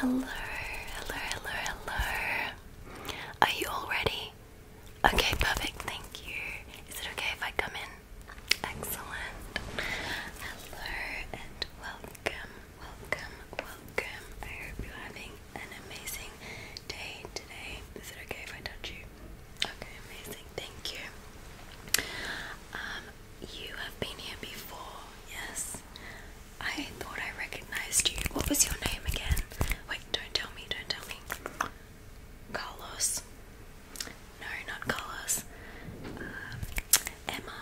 Hello, hello, hello, hello. Are you all ready? Okay, perfect, thank you. Is it okay if I come in? Excellent. Hello and welcome, welcome, welcome. I hope you're having an amazing day today. Is it okay if I touch you? Okay, amazing. Thank you. Um, you have been here before, yes? I thought I recognized you. What was your name again? Wait, don't tell me, don't tell me. Carlos. No, not Carlos. Um, Emma.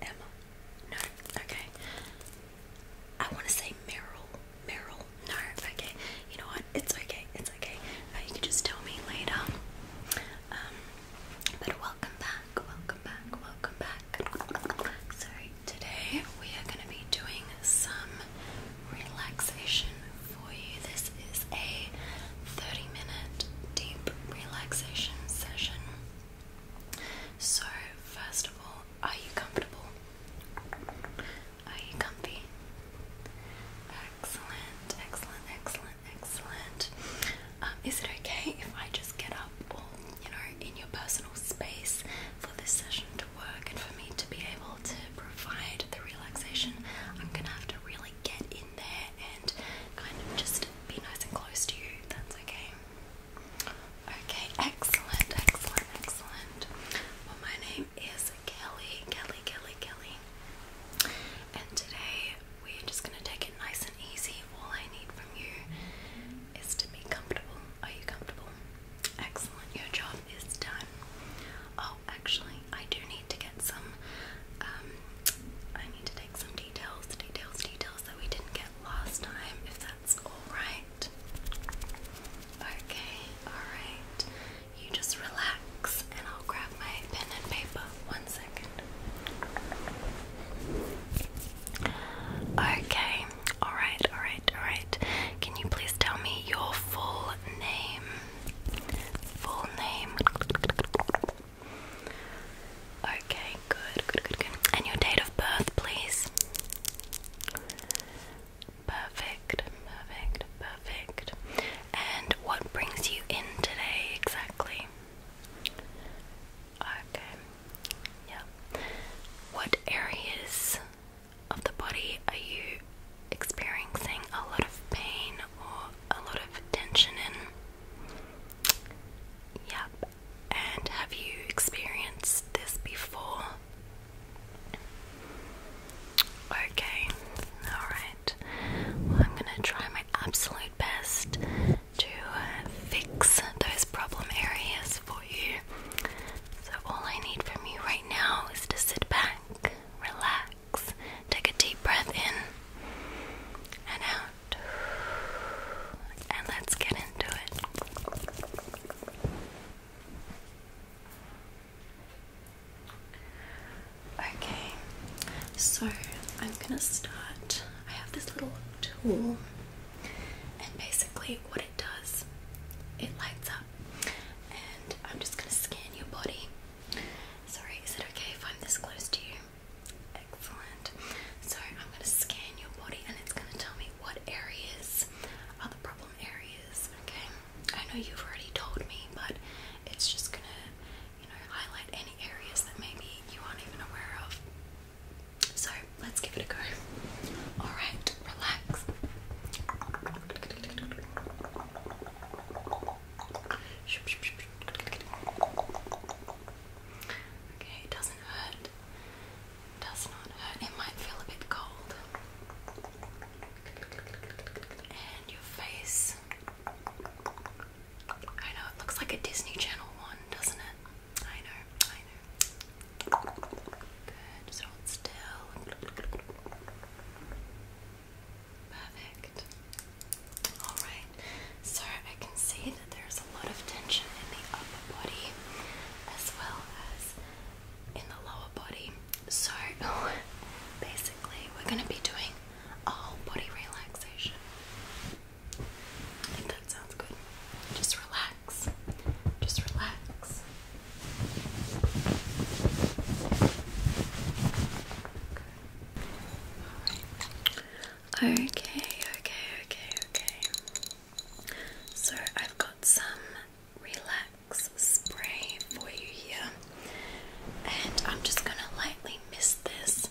Emma. No, okay. I want to say Meryl. Meryl. No, okay. You know what? It's okay. It's okay. Uh, you can just tell me later. Um, but welcome back. Welcome back. Welcome back. So today we are going to be doing some relaxation for you. This is a 30-minute deep relaxation session. So first of all, are you comfortable? Are you comfy? Excellent, excellent, excellent, excellent. Um, is it okay if I just get up or, you know, in your personal space for this session to work and for me to be able to provide the relaxation? I'm gonna have to really get in there and kind of just be nice and close to you. That's okay. Okay, excellent, excellent, excellent. Well, my name is Kelly, Kelly, Kelly, Kelly. And today we're just going to take it nice and easy. All I need from you is to be comfortable. Are you comfortable? Excellent, your job is done. Oh, actually, I do need to get some. Um, I need to take some details, details, details that we didn't get last time, if that's alright. Okay, alright. You just relax and I'll grab my pen and paper. One second. Okay, alright, alright, alright. Can you please tell me your full name? Full name. Okay, good, good, good, good. And your date of birth, please. Perfect, perfect, perfect. And what brings you in today exactly? Okay, yeah. What areas of the body are you experiencing a lot of pain or a lot of tension in? Yep, and have you experienced this before? Okay, alright. I'm going to try my absolute best to uh, fix those problem areas for you. So, all I need from you right now is to sit back, relax, take a deep breath in and out. And let's get into it. Okay, so I'm gonna start. I have this little tool, and basically, what it does, it lights up, and I'm just gonna scan your body. Sorry, is it okay if I'm this close to you? Excellent. So I'm going to scan your body and it's going to tell me what areas are the problem areas, okay? I know you've already told me, but it's just going to, you know, highlight any areas that maybe you aren't even aware of. So let's give it a go. Alright, relax. Okay, it doesn't hurt does not hurt. It might feel a bit cold. And your face. I know it looks like a Disney Channel one, doesn't it? I know, I know. Good, still. Perfect. Alright, so I can see there's a lot of tension in the upper body as well as in the lower body. So basically, we're going to be doing a whole body relaxation. I think that sounds good. Just relax. Just relax. Okay, okay, okay, okay. So I've got some relax spray for you here, and I'm just gonna lightly mist this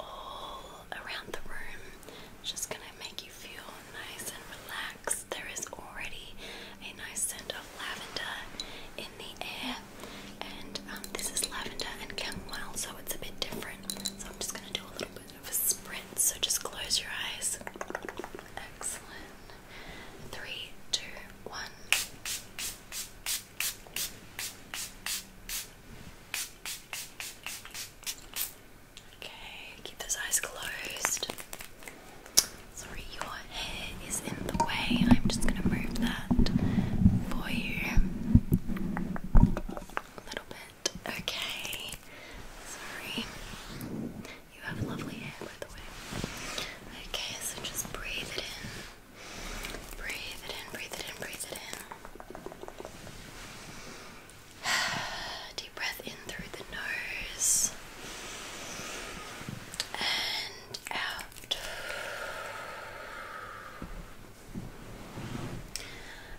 all around the room. Just gonna make you feel nice and relaxed. There is already a nice scent of lavender in the air, and um, this is lavender and chamomile, so it's a bit different. So I'm just gonna do a little bit bit of a sprint, so just close your eyes. Excellent. Three, two, one. Okay, keep those eyes closed. Sorry, your hair is in the way. I'm just gonna move that for you. A little bit. Okay. Sorry. You have lovely hair, by the way. Okay, so just breathe it in. Breathe it in, breathe it in, breathe it in. Deep breath in through the nose and out.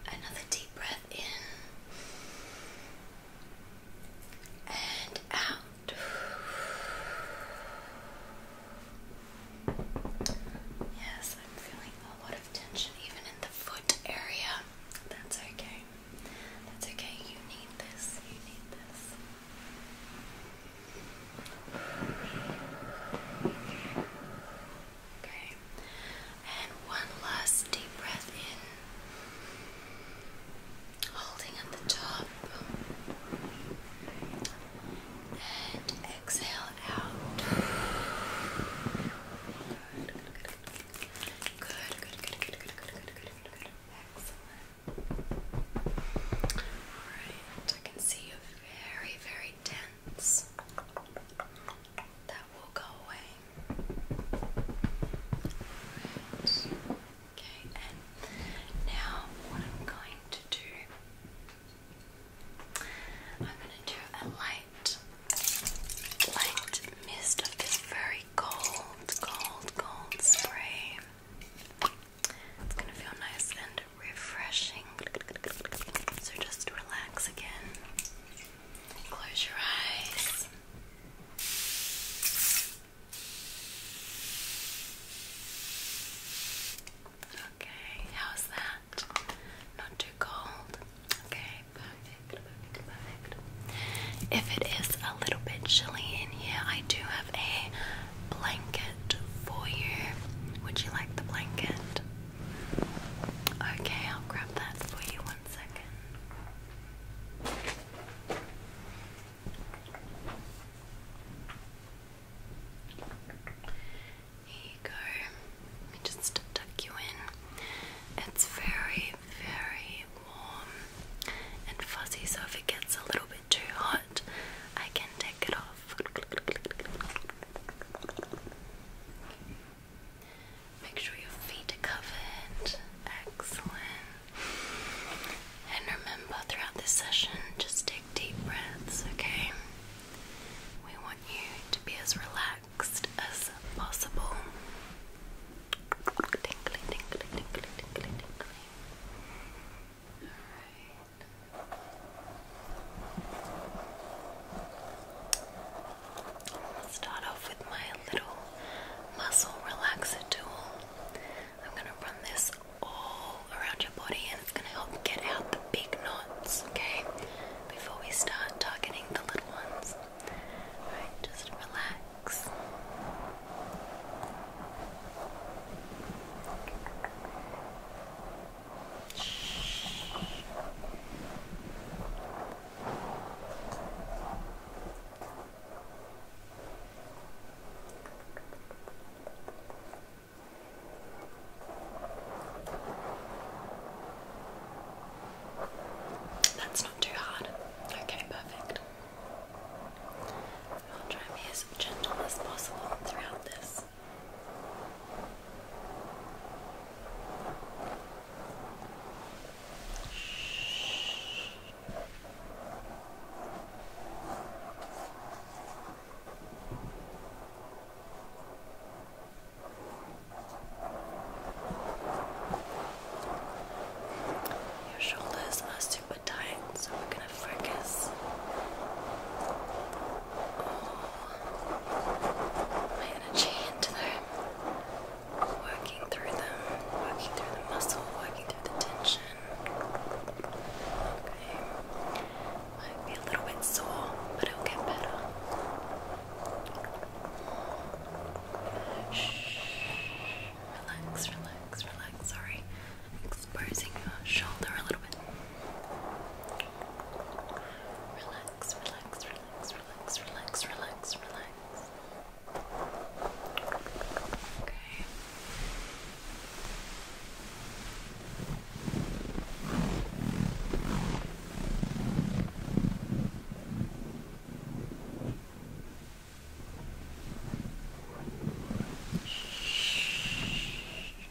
Another deep breath in and out. Yes, I'm feeling a lot of tension even in the foot area. That's okay. That's okay. You need this. You need this. Okay. And one last deep breath in, holding at the top. And exhale out. Good, good, good, good, good, good, good, good, Excellent. Alright, I can see you're very, very dense. That will go away. Okay, and now what I'm going to do, I'm going to do a light, light mist of this very cold, cold, cold spray. It's going to feel nice and refreshing. So just relax again. Close your eyes. Okay, how's that? Not too cold? Okay, perfect, perfect, perfect. If it is a little bit chilly in here, I do have a blanket for you. Would you like the blanket? Okay, I'll grab that for you one second. Here you go. Let me just tuck you in. It's very, very warm and fuzzy, so if it gets a little bit too hot, I can take it off. Make sure your feet are covered. Excellent. And remember throughout this session, just take deep breaths, okay? We want you to be as relaxed as possible. Alright i start off with my little muscle relaxer tool. I'm going to run this all around your body and it's going to help get out the big knots, okay? Before we start targeting the little ones. Alright, just relax. Good. That's not too hard. Okay, perfect. I'll try and be as gentle as possible throughout this. Your shoulders are super tight, so we're going to focus all my energy into them, working through them, working through the muscle, working through the tension. Okay. Might be a little bit sore, but it'll get better. Shh. Relax, relax, relax. Sorry, exposing your shoulder a little bit. Relax, relax, relax, relax, relax, relax, relax. Okay. Shh.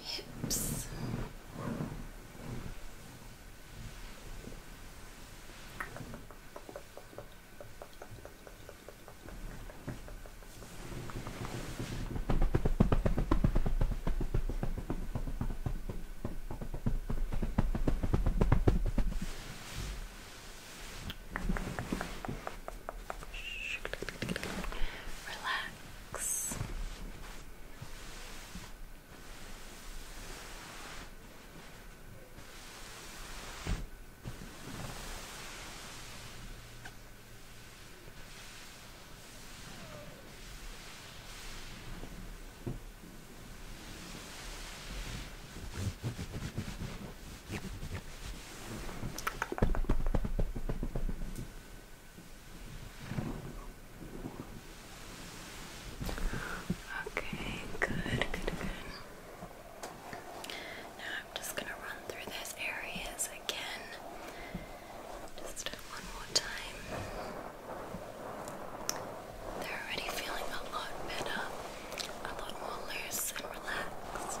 your hips. Relax. Good. Okay, good, good, good. Now I'm just going to run through those areas again. Just one more time. They're already feeling a lot better, a lot more loose and relaxed.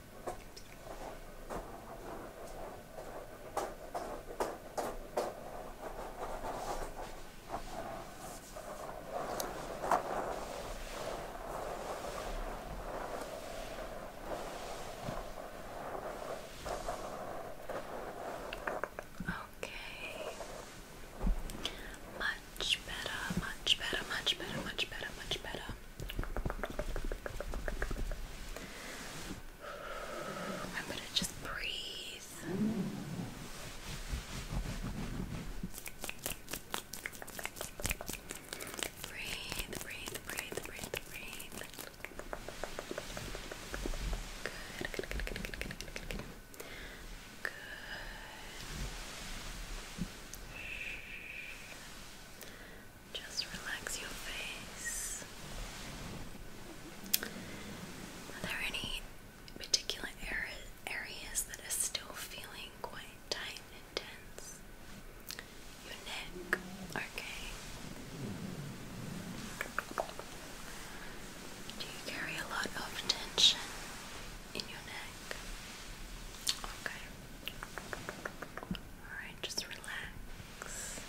Okay. Much better, much better, much better, much better, much better. I'm going to just breathe. Breathe, breathe, breathe, breathe, breathe. Good, good, good, good, good, good, good, good. Good. Just relax your face. Are there any particular areas that are still feeling quite tight and tense? Your neck, okay. Do you carry a lot of tension in your neck? Okay. Alright, just relax.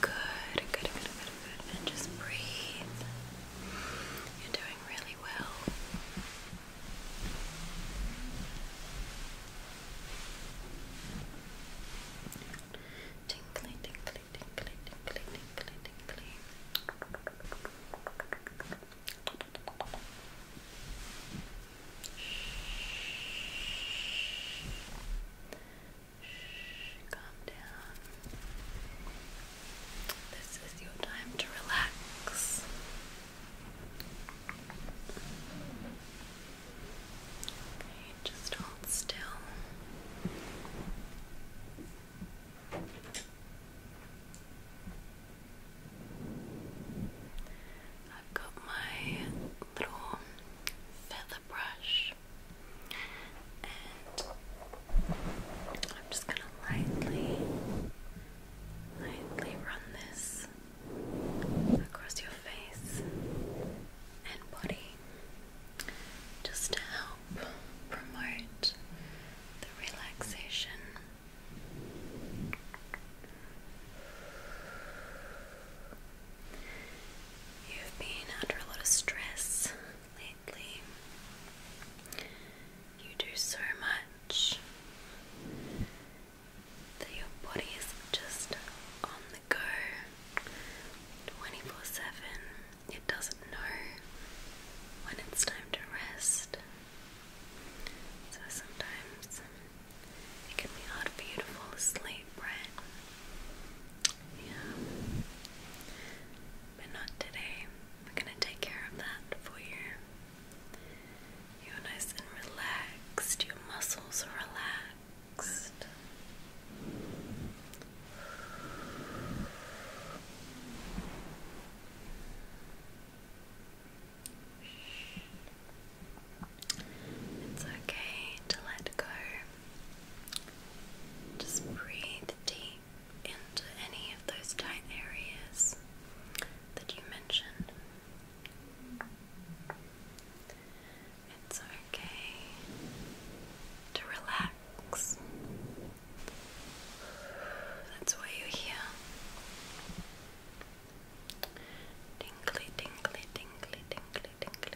Good, good, good, good, good. And just breathe. You're doing really well. Tinkly, tinkly, tinkly, tinkly, tinkly, tinkly. Shh, calm down. This is your time to relax. just hold still. I've got my little feather brush and I'm just going to lightly, lightly run this across your face and body just to help promote the relaxation. You've been under a lot of stress lately. You do so much that your body is just on the go 24 7. It doesn't know when it's time to rest. So sometimes it can be hard for you to fall asleep, right? Yeah. But not today. We're gonna take care of that for you. You're nice and relaxed, your muscles are relaxed. It's okay to let go just breathe deep into any of those tight areas that you mentioned. It's okay to relax. That's why you're here. Tingly, tingly, tingly, tingly,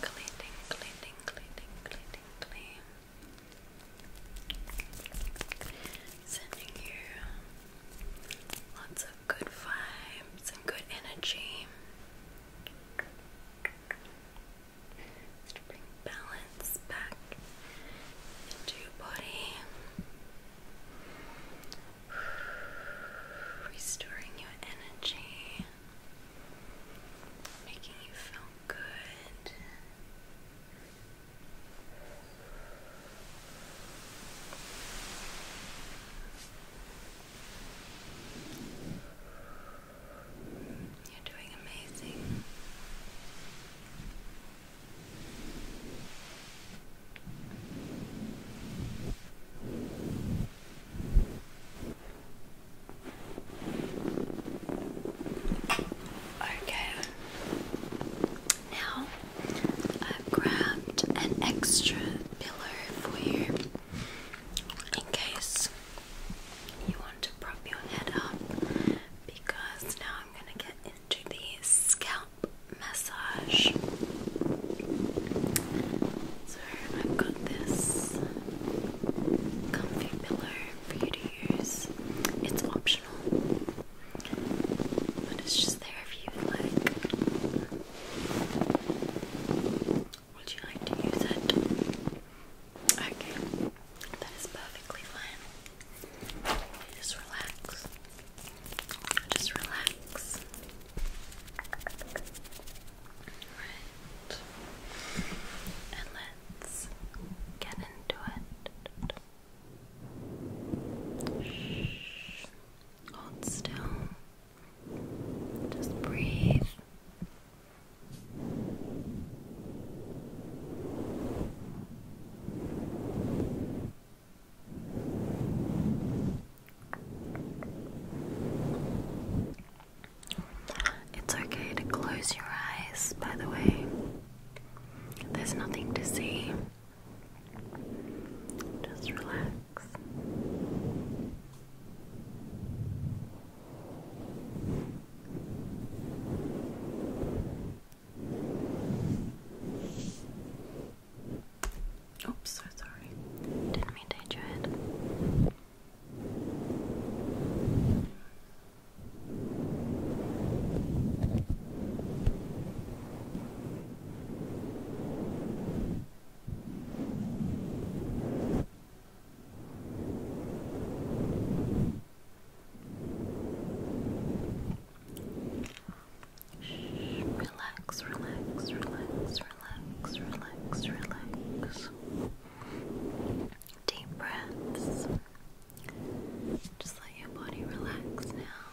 Tinkly, tinkly, tinkly, tinkly, tinkly. Sending you lots of good vibes and good energy. to bring balance back into your body, restoring your energy, making you feel good. You're doing amazing. Okay, now, I've grabbed an extra pillow for you in case you want to prop your head up because now I'm going to get into the scalp massage. So, I've got this comfy pillow for you to use. It's optional. But it's just there if you like. Would you like to use it? Okay, that is perfectly fine. Just relax. Just relax. Right. And let's get into it. Shh. Hold still. Just breathe. It's okay to close your eyes, by the way. There's nothing to see. Just relax. Oops, sorry. Didn't mean to hit your head relax, relax, relax, relax, relax, relax. Deep breaths. Just let your body relax now.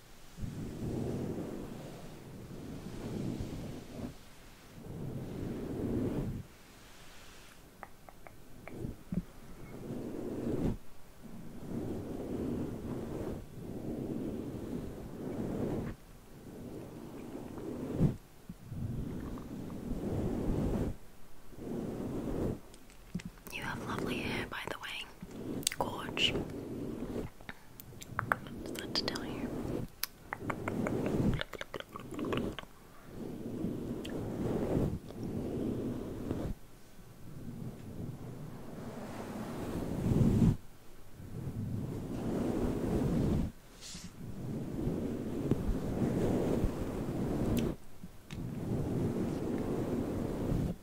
You have lovely hair, by the way. Gorge. It's not to tell you.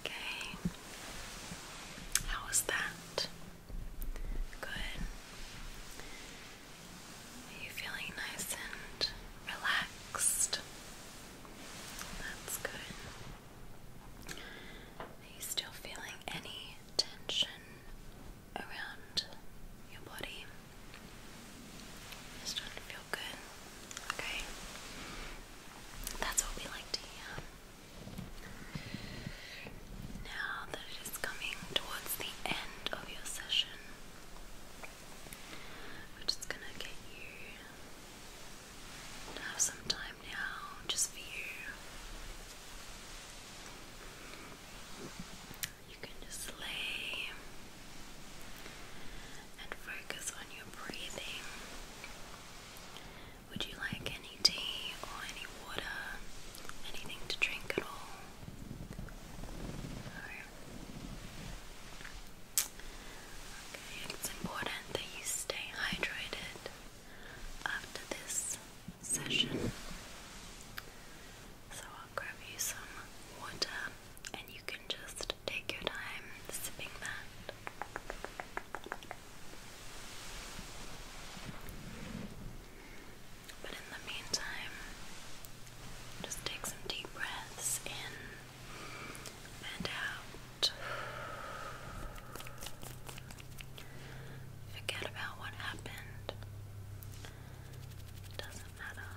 Okay. How was that? Good. Are you feeling nice and relaxed? That's good. Are you still feeling any tension around your body. starting to feel good. Okay. That's what we like to hear. Now that it is coming towards the end of your session, we're just gonna get you to have some time now just for you. You can just lay and focus on your breathing. Would you like any tea or any water? Anything to drink at all? Okay, it's important that you stay hydrated after this session. So I'll grab you some water and you can just take your time sipping that. But in the meantime, just take some deep breaths in and out. Forget about what happened. doesn't matter.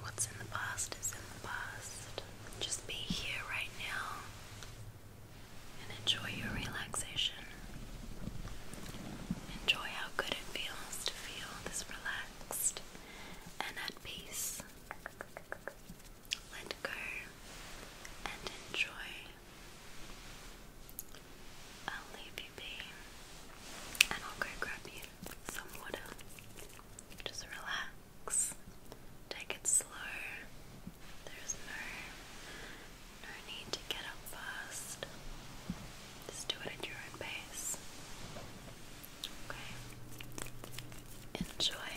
What's in the past is in the past. Just be here right now and enjoy your relaxation. Enjoy how good it feels to feel this relaxed and at peace. Let go and enjoy I'll leave you be, and I'll go grab you some water. Just relax. Take it slow. There's no no need to get up fast. Just do it at your own pace. Okay. Enjoy.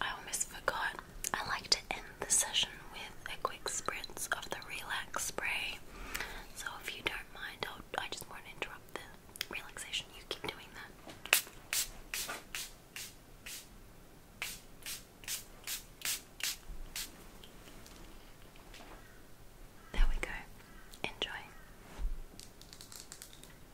I almost forgot. I like to end the session with a quick spritz of the relax spray. So if you don't mind, I'll, I just want to interrupt the relaxation. You keep doing that. There we go. Enjoy.